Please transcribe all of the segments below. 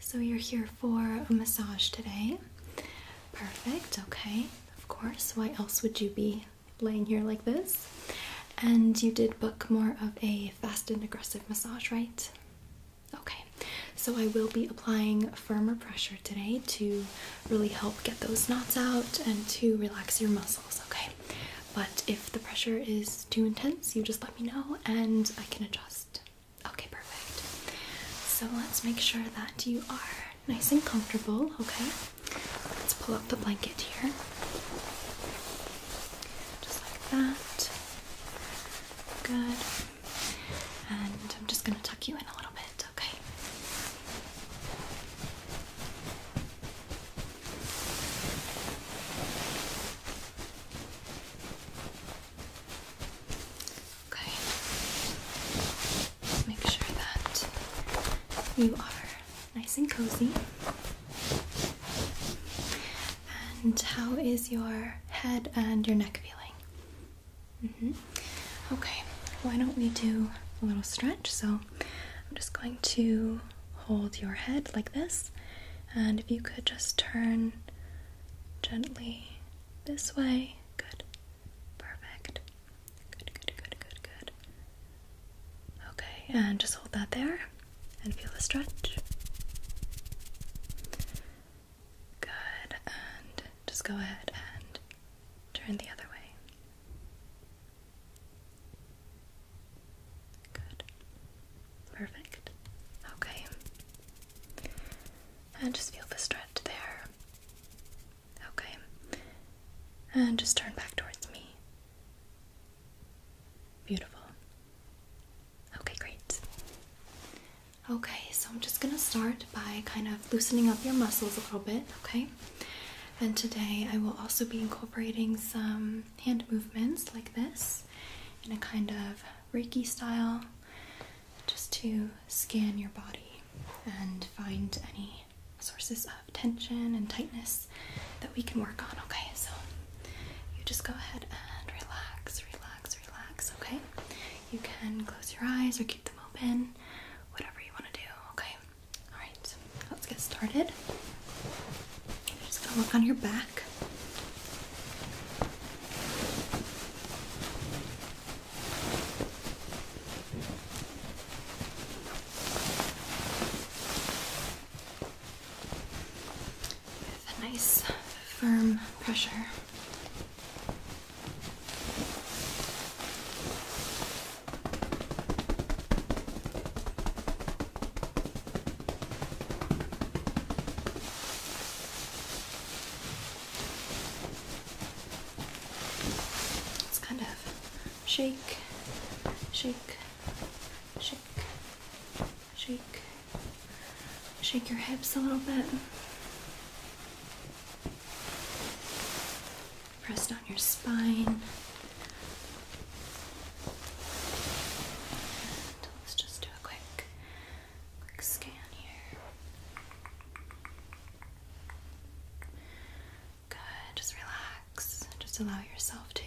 So you're here for a massage today. Perfect, okay. Of course, why else would you be laying here like this? And you did book more of a fast and aggressive massage, right? Okay, so I will be applying firmer pressure today to really help get those knots out and to relax your muscles, okay? But if the pressure is too intense, you just let me know and I can adjust. Okay, perfect. So let's make sure that you are nice and comfortable, okay? Let's pull up the blanket here. Just like that. Good. And I'm just going to tuck you in a little bit, okay? Okay. Make sure that you are nice and cozy. And how is your head and your neck feeling? Mm -hmm. Okay, why don't we do a little stretch? So I'm just going to hold your head like this, and if you could just turn gently this way. Good. Perfect. Good, good, good, good, good. Okay, and just hold that there and feel the stretch. Good, and just go ahead and turn the other way. Good. Perfect. Okay. And just feel the stretch there. Okay. And just turn back towards me. Beautiful. Okay, great. Okay, so I'm just gonna start by kind of loosening up your muscles a little bit, okay? And today I will also be incorporating some hand movements like this in a kind of Reiki style, just to scan your body and find any sources of tension and tightness that we can work on. Okay, so you just go ahead and relax, relax, relax. Okay, you can close your eyes or keep them open, whatever you want to do. Okay, all right, let's get started. just gonna look on your back. With a nice firm pressure. It's kind of shake, shake, shake, shake, shake your hips a little bit. Press down your spine. And let's just do a quick Quick scan here. Good, just relax. Just allow yourself to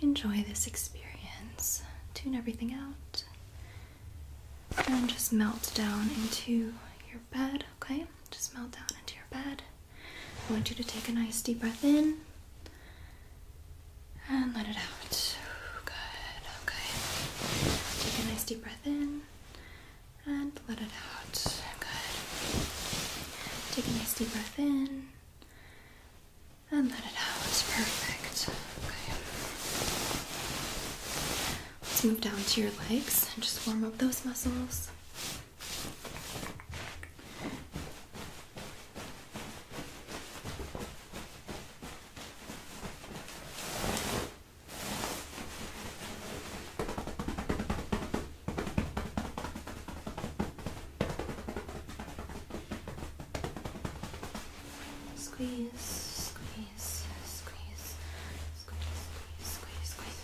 enjoy this experience. Tune everything out and just melt down into your bed, okay? Just melt down into your bed. I want you to take a nice deep breath in and let it out. Good. Okay. Take a nice deep breath in and let it out. Good. Take a nice deep breath in and let it out. It's Perfect. Okay. Let's move down to your legs and just warm up those muscles. Squeeze, squeeze, squeeze, squeeze, squeeze, squeeze, squeeze.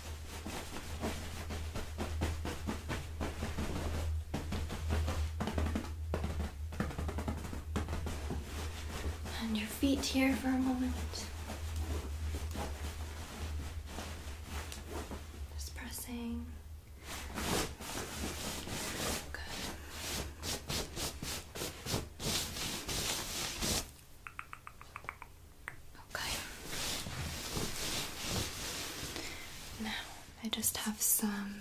And your feet here for a moment. Just pressing. Good. Okay. Now I just have some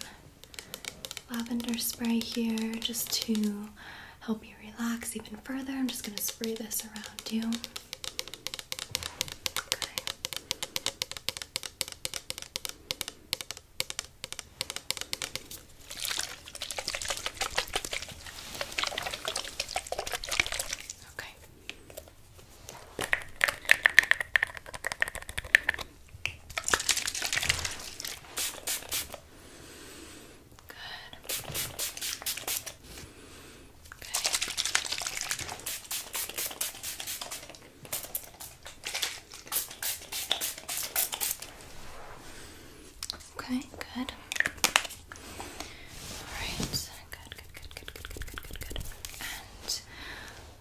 lavender spray here just to help you relax even further. I'm just going to spray this around you. Okay. Okay, good. Alright, good, good, good, good, good, good, good, good. And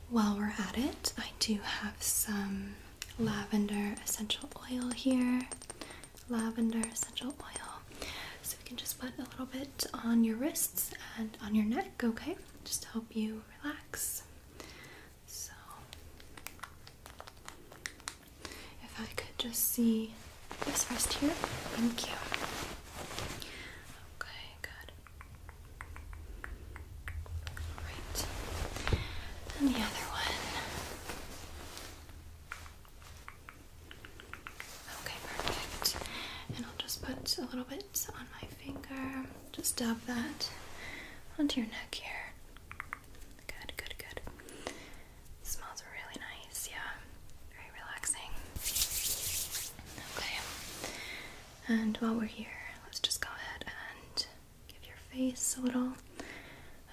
while we're at it, I do have some lavender essential oil here. Lavender essential oil. So we can just put a little bit on your wrists and on your neck, okay? Just to help you relax. So, if I could just see this wrist here. Thank you. Okay, good. Right. And the other one. Okay, perfect. And I'll just put a little bit on my finger. Just dab that onto your neck here. Good, good, good. smells really nice, yeah. Very relaxing. Okay. And while we're here, let's just go ahead and Give your face a little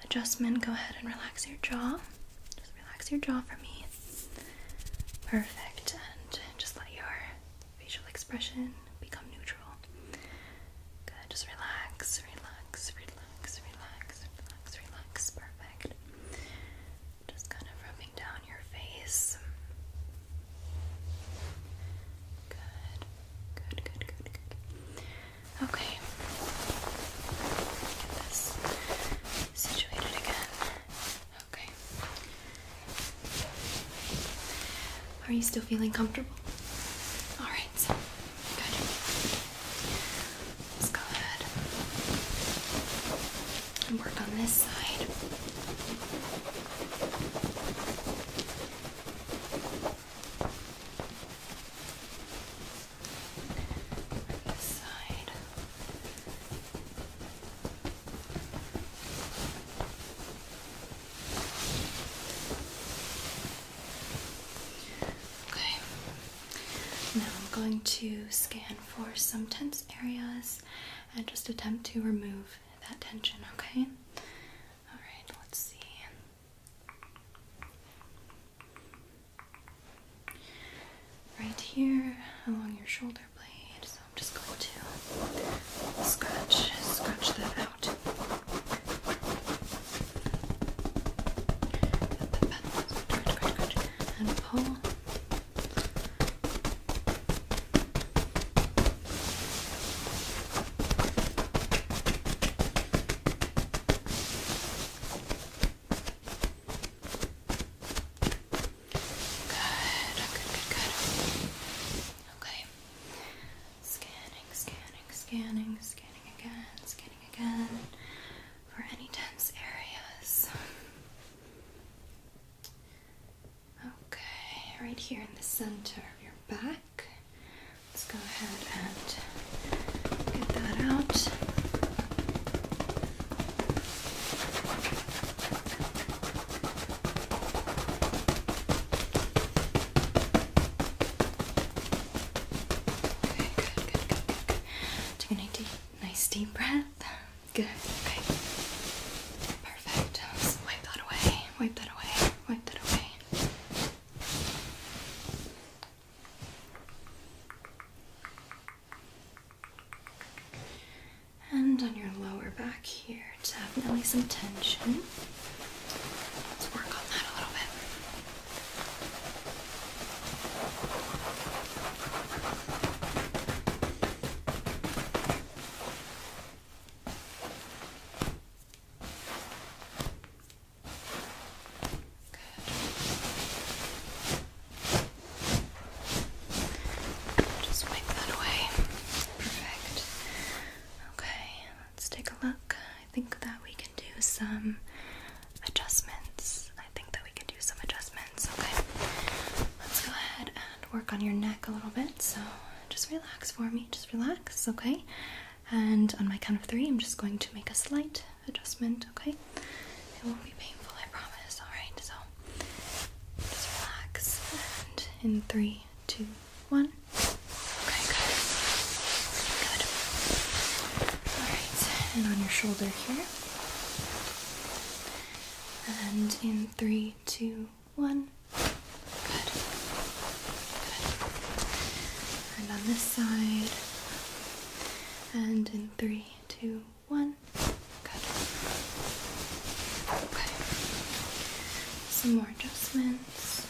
adjustment. Go ahead and relax your jaw. Just relax your jaw for me. Perfect. And just let your facial expression become neutral. Good. Just relax, relax, relax, relax, relax, relax. Perfect. Just kind of rubbing down your face. Good. Good, good, good, Okay. Get this situated again. Okay. Are you still feeling comfortable? Alright, so good. Let's go ahead and work on this side. Okay. Now I'm going to scan for some tense areas and just attempt to remove that tension, okay? All right, let's see. Right here along your shoulder blade. So I'm just going to scratch, scratch that out. And pull good, good. Okay. Scanning, scanning, scanning, scanning again, scanning again for any tense areas. Okay, right here in the center of your back. Let's go ahead and get that out. Okay, good, good, good, good, good. Take a deep, nice deep breath. Good, okay. Perfect. wipe that away, wipe that away, wipe that away. And on your lower back here, definitely some tension. Let's work on that a little bit. Just wipe that away. Perfect. Okay, let's take a look. I think that we can do some adjustments. I think that we can do some adjustments. Okay. Let's go ahead and work on your neck a little bit. So just relax for me. Just relax, okay? And on my count of three, I'm just going to make a slight adjustment, okay? It won't be painful, I promise, alright? So just relax. And in three, two, one. Okay, good. Good. Alright, and on your shoulder here. And in three, two, one. Good. Good. And on this side. And in three, two, one. Good. Okay. Some more adjustments.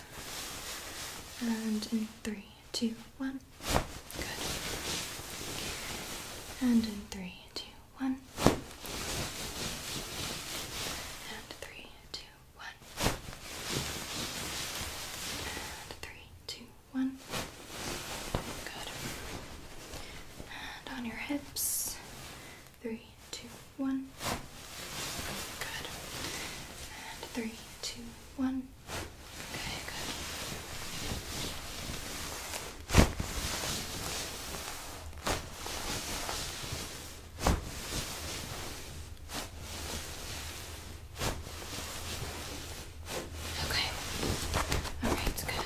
And in three, two, one. Good. And in three, two, one. And three, two, one, Good. And on your hips, three, two, one. Good. And three, two, one. Okay, good. Okay. All right, good. Good,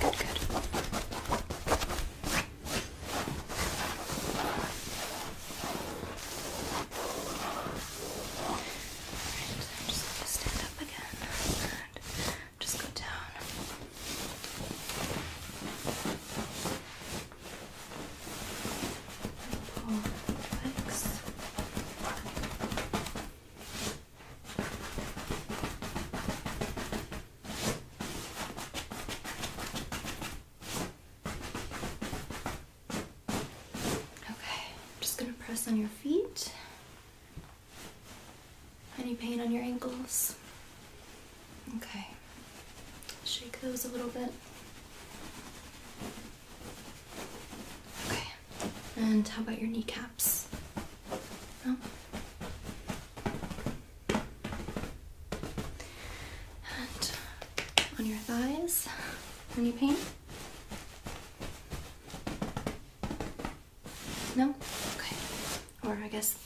good, good. Alright, I'm just going to stand up again. Good. Just go down. Okay, I'm just going to press on your feet. Any pain on your ankles? Okay. Shake those a little bit. Okay. And how about your kneecaps? No? And on your thighs? Any pain? No? Okay. Or I guess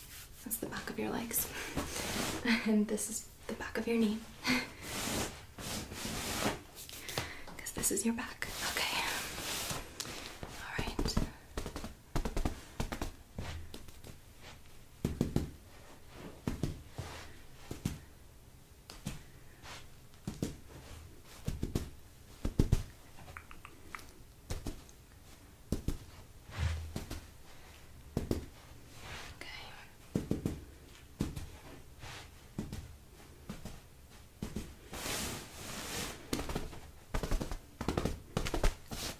that's the back of your legs. and this is the back of your knee. Because this is your back. Okay. Alright. Okay.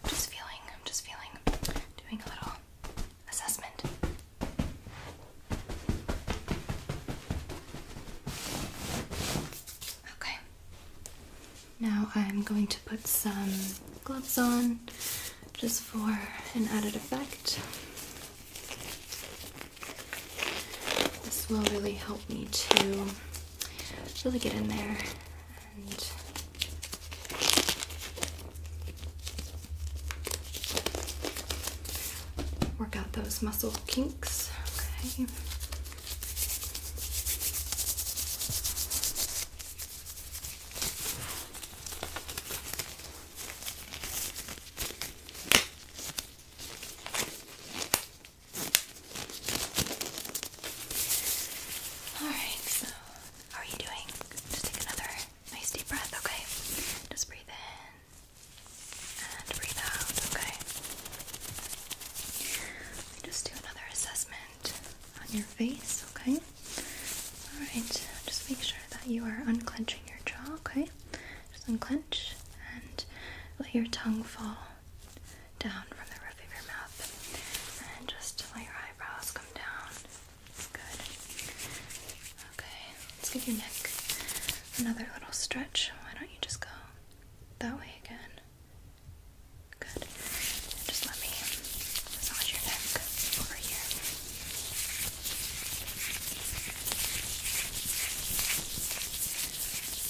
just feeling, I'm just feeling, doing a little assessment. Okay. Now I'm going to put some gloves on just for an added effect. This will really help me to really get in there and work out those muscle kinks. Okay. Alright, so how are you doing? Just take another nice deep breath, okay? Just breathe in and breathe out, okay? Just do another assessment on your face, okay? Alright, just make sure that you are unclenching your jaw, okay? Just unclench and let your tongue fall down from the roof of your mouth. And just let your eyebrows come down. Good. Okay, let's give your neck another little stretch. Why don't you just go that way again? Good. Just let me massage your neck over here.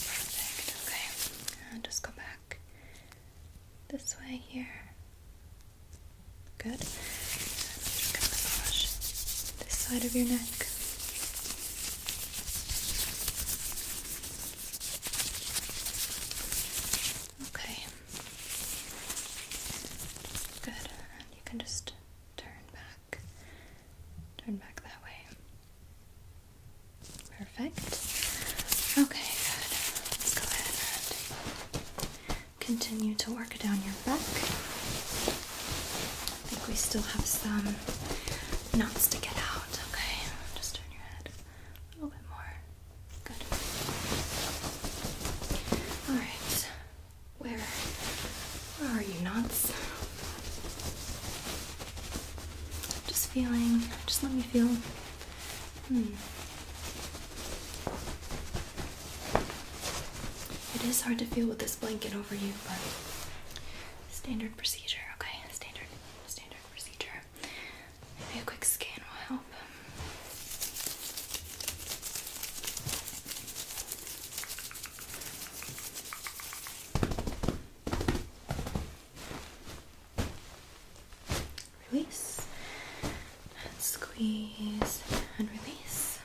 Perfect. Okay. And just go back this way here. Good. And just gonna massage this side of your neck. Okay. Good. you can just turn back. Turn back that way. Perfect. Okay, Let's go ahead and continue to work down your back. I think we still have some knots to get out. Okay, just turn your head a little bit more. Good. All right. Where, are you, knots? Just feeling. Just let me feel. Hmm. It is hard to feel with this blanket over you, but standard procedure. Okay, standard, standard procedure. Maybe a quick scan will help. Release squeeze and release.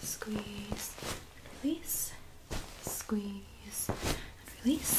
Squeeze release. Squeeze release.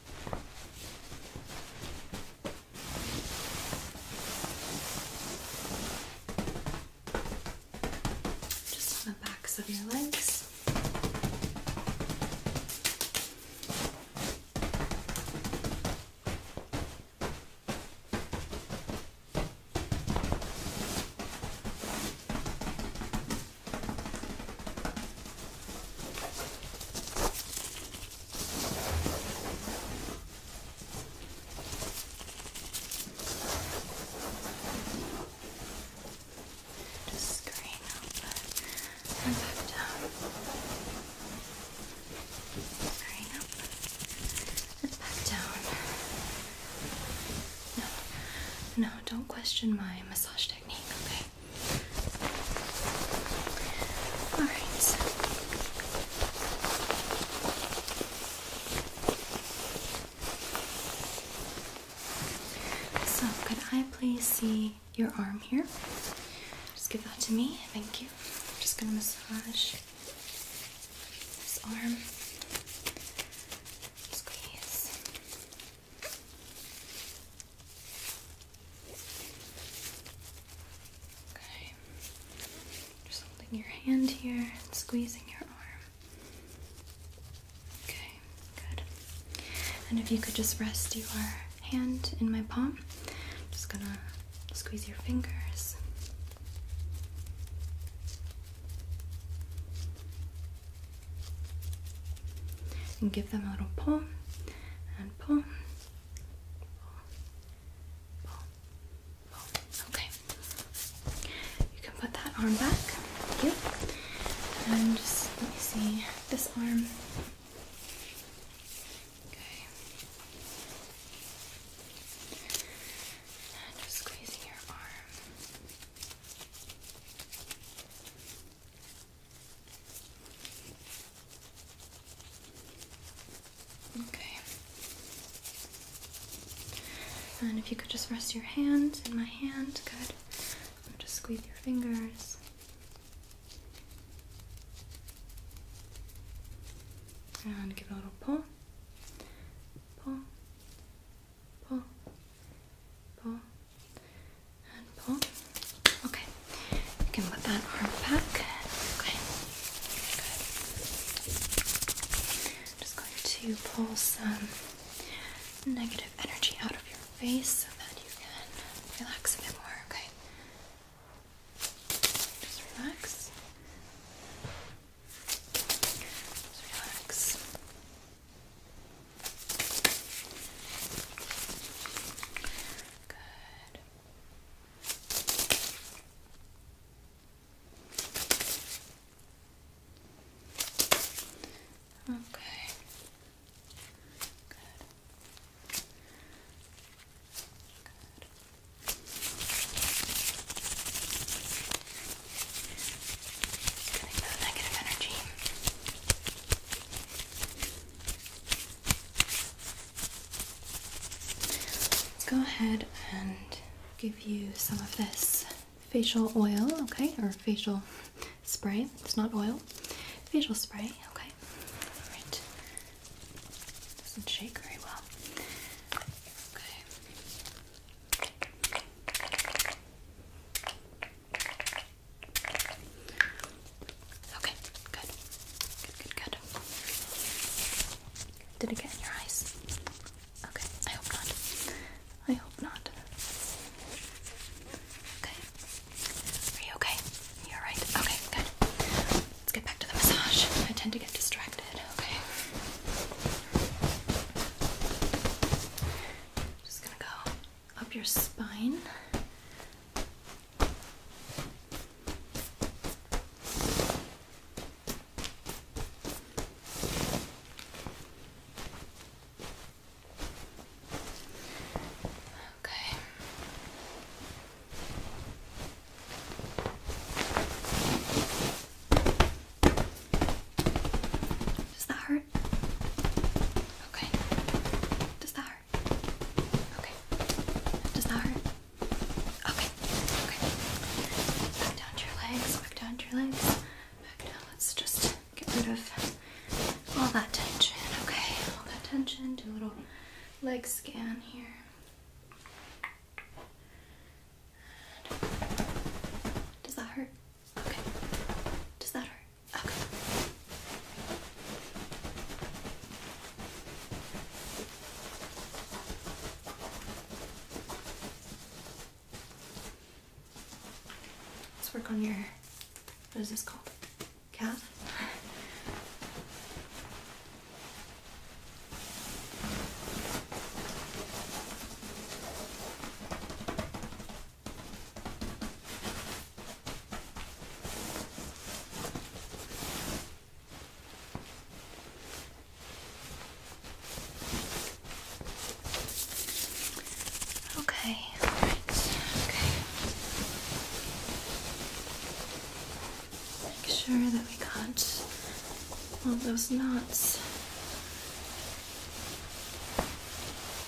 Just on the backs of your legs. Just screen over and back down. Screen up and back down. No, no, don't question my massage technique, okay? All right. So. so, could I please see your arm here? Just give that to me. Thank you. just gonna massage this arm. Squeeze. Okay. Just holding your hand here and squeezing your arm. Okay, good. And if you could just rest your hand in my palm, I'm just gonna squeeze your fingers. And give them a little pull and pull, Okay. You can put that arm back. Thank And just let me see this arm. Okay. just squeezing your arm. Okay. And if you could just rest your hands in my hand, good. just squeeze your fingers. And give a little pull. Pull. Pull. Pull and pull. Okay, you can put that arm back. Okay, just going to pull some negative energy out of your face so that you can relax a bit more. Okay, just relax. Just relax. Good. Okay. Good. Good. Just getting that negative energy. Let's go ahead and give you some of this facial oil, okay, or facial spray. It's not oil, facial spray, okay. right. Doesn't shake very well. Okay. Okay, good. Good, good, Did it get in your eyes? Okay, I hope not. I hope not. Okay. Are you okay? You're right. Okay, good. Let's get back to the massage. I tend to get distracted. Okay. Just gonna go up your spine. Okay. Does that hurt? Okay. Does that hurt? Okay. Does that hurt? Okay. Okay. Back down to your legs. Back down to your legs. Back down. Let's just get rid of all that tension. Okay. All that tension. Do a little leg scan here. does that hurt? Okay. Does that hurt? Let's work on your. What is this called? Calf? Okay, all right, okay. Make sure that we got all those knots.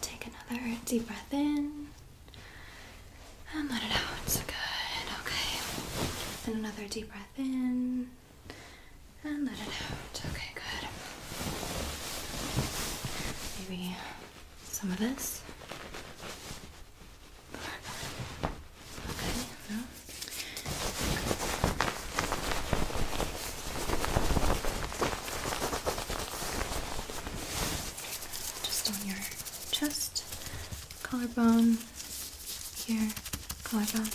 Take another deep breath in and let it out. Good, okay. And another deep breath in and let it out. Okay, good. Maybe some of this. Okay, no. okay. Just on your chest, collarbone, here, collarbone,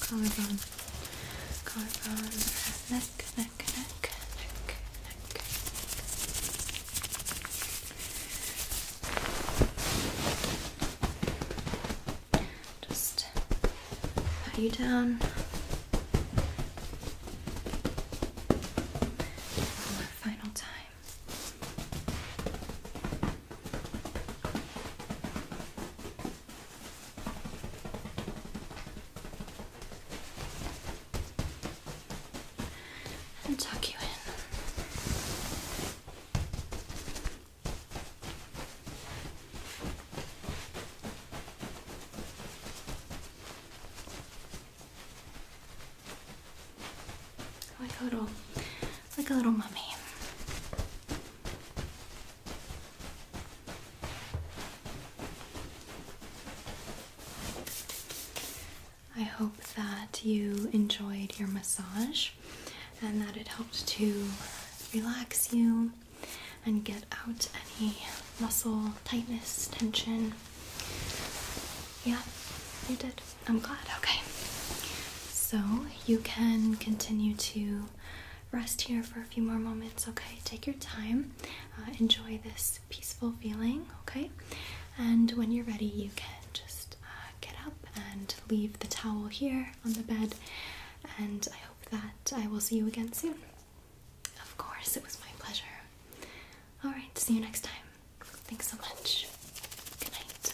collarbone, collarbone, neck, neck, neck, neck, neck. Just pat you down. One more final time and tuck you in like a little like a little mummy. I hope that you enjoyed your massage and that it helped to relax you and get out any muscle tightness, tension. Yeah, you did. I'm glad. Okay. So you can continue to rest here for a few more moments, okay? Take your time. Uh, enjoy this peaceful feeling, okay? And when you're ready, you can just uh, get up and leave the towel here on the bed. And I hope that I will see you again soon. Of course, it was my pleasure. Alright, see you next time. Thanks so much. Good night.